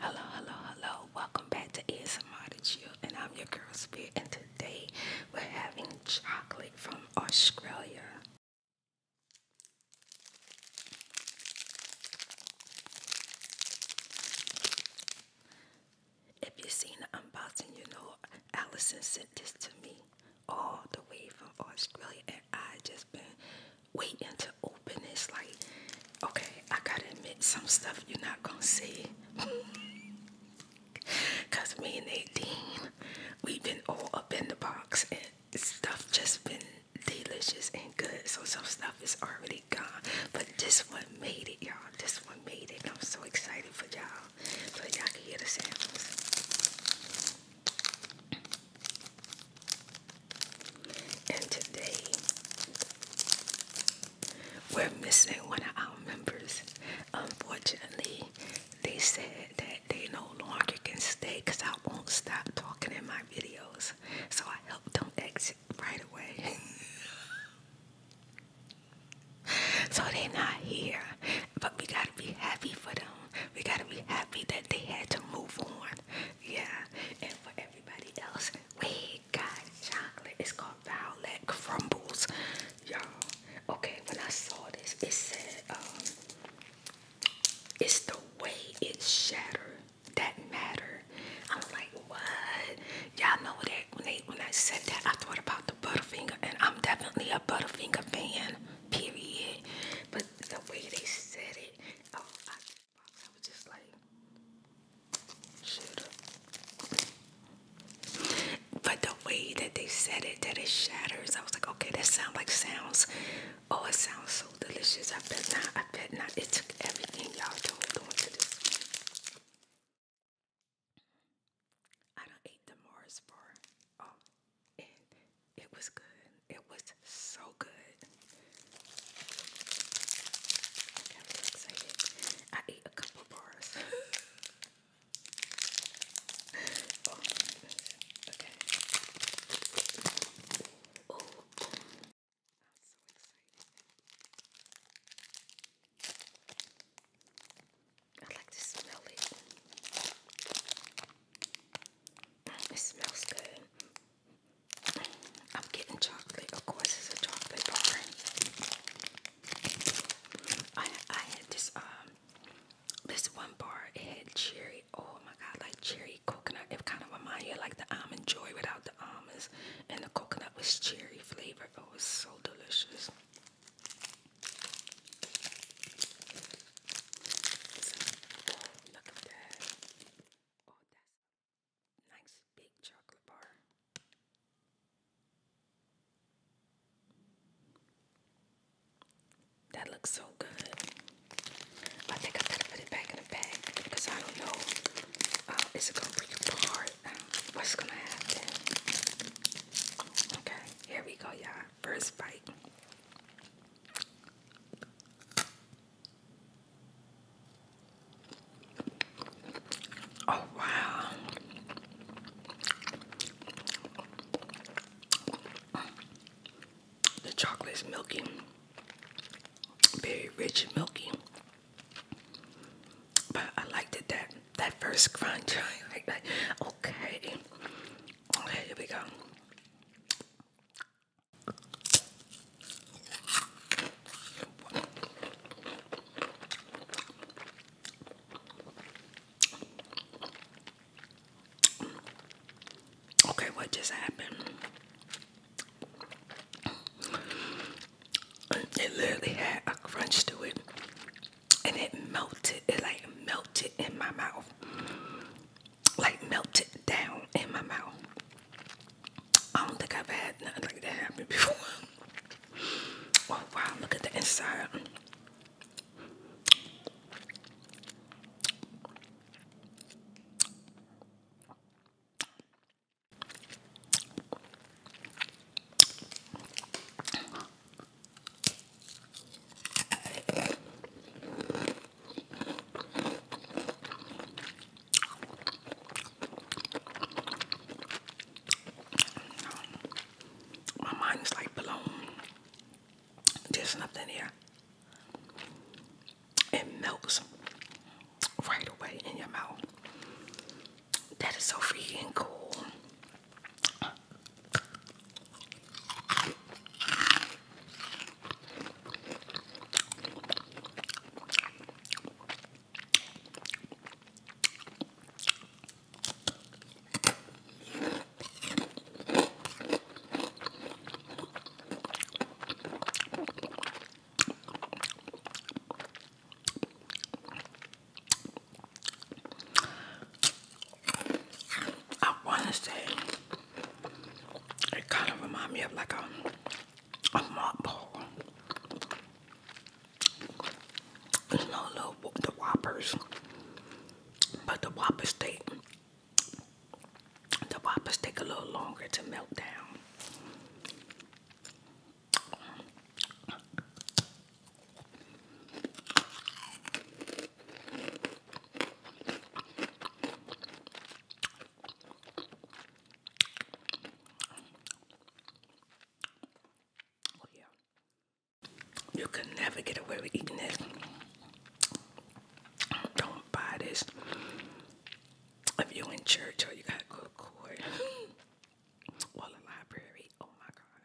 Hello, hello, hello. Welcome back to ASMR to Chill, and I'm your girl Spirit, today. We're having chocolate from Australia. If you've seen the unboxing, you know Allison sent this to me all the way from Australia, and I just been waiting to open this. Like, okay, I gotta admit, some stuff you're not gonna see. Cause me and 18, we've been all up in the box and stuff just been delicious and good. So some stuff is already gone. But this one made it, y'all. This one made it. I'm so excited for y'all. So y'all can hear the sounds. And today we're missing one of our members. Unfortunately, they said that they no longer can stay because I won't stop talking in my videos. So I helped them exit right away. so they're not here. But we gotta be happy for them. We gotta be happy that they had to move on. Yeah. And for everybody else, wait got chocolate. It's called Violet Crumbles, y'all. Okay, when I saw this, it said, um, it's the way it shattered that matter. I'm like, what? Y'all know that when they when I said that, I thought about the Butterfinger, and I'm definitely a Butterfinger fan. Period. But the way they said it, oh, I was just like, But the way that they said it, that it shatters, I was like, okay, that sound like sounds. Oh, it sounds so delicious. I bet not. I bet not. It took everything y'all told doing to this. I don't ate the Mars bar. Oh, it was good. It was so good i I ate a couple bars. oh, okay. Oh, I'm so excited. I like to smell it. It smells good. I'm getting chocolate. Of course, it's a chocolate bar. I I had this um this one bar. It had cherry. Oh my god, like cherry coconut. It kind of reminded you like the almond joy without the almonds, and the coconut was cherry flavored. Oh, it was so delicious. Oh, look at that. Oh, Nice big chocolate bar. That looks so good. I think I gotta put it back in the bag because I don't know. Uh, is it gonna break apart? What's gonna happen? Okay, here we go, y'all. First bite. Oh, wow. The chocolate's milky, very rich and milky. But I liked it that that first crunch. Okay. Okay, here we go. Okay, what just happened? It literally had a crunch to it and it melted. It like melted in my mouth like melted down in my mouth. I don't think I've had nothing like that happen before. Oh, wow, look at the inside. My mind is like blown. There's nothing here. It melts right away in your mouth. That is so freaking cool. I want to say it kind of reminds me of like a, a mop ball. You the Whoppers. But the Whoppers take, the Whoppers take a little longer to melt down. Oh, you can never get away with eating this. Don't buy this. If you're in church or you got good court or a library, oh my god.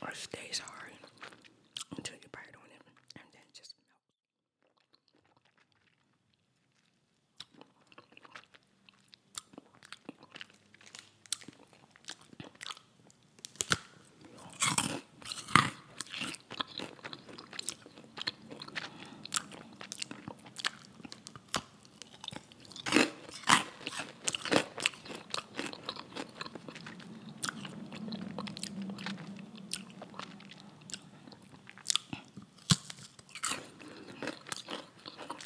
Or stays hard until you bite on it and then just melts.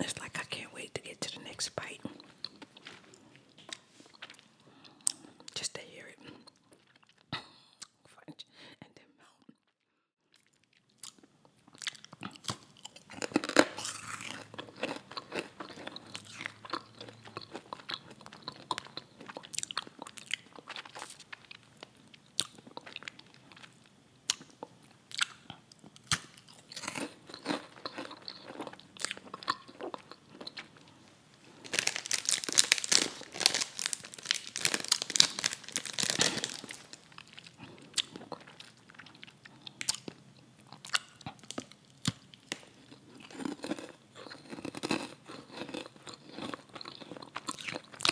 It's like I can't wait to get to the next bite. Just to hear it fudge and then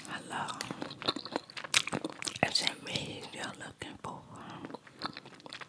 Hello. Is it me you're looking for?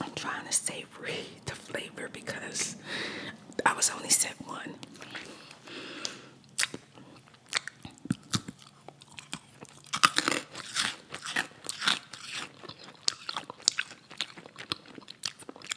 I'm trying to savory the flavor because I was only set one.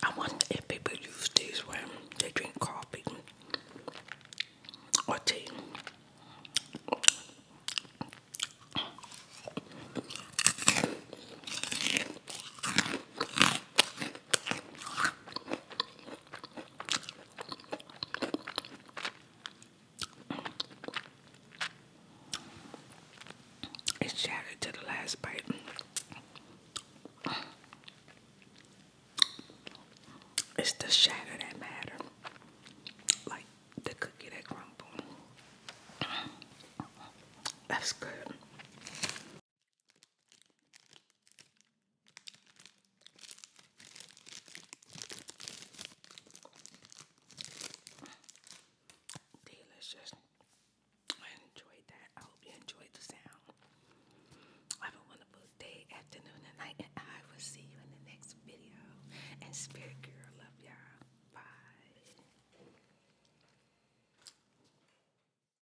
I wonder if people use these when they drink coffee or tea. It shattered to the last bite. It's the shatter that matters, Like the cookie that crumble. That's good. Delicious. I enjoyed that. I hope you enjoyed the sound. Have a wonderful day, afternoon, and night, and I will see you in the next video. And Spirit Girl, love y'all. Bye.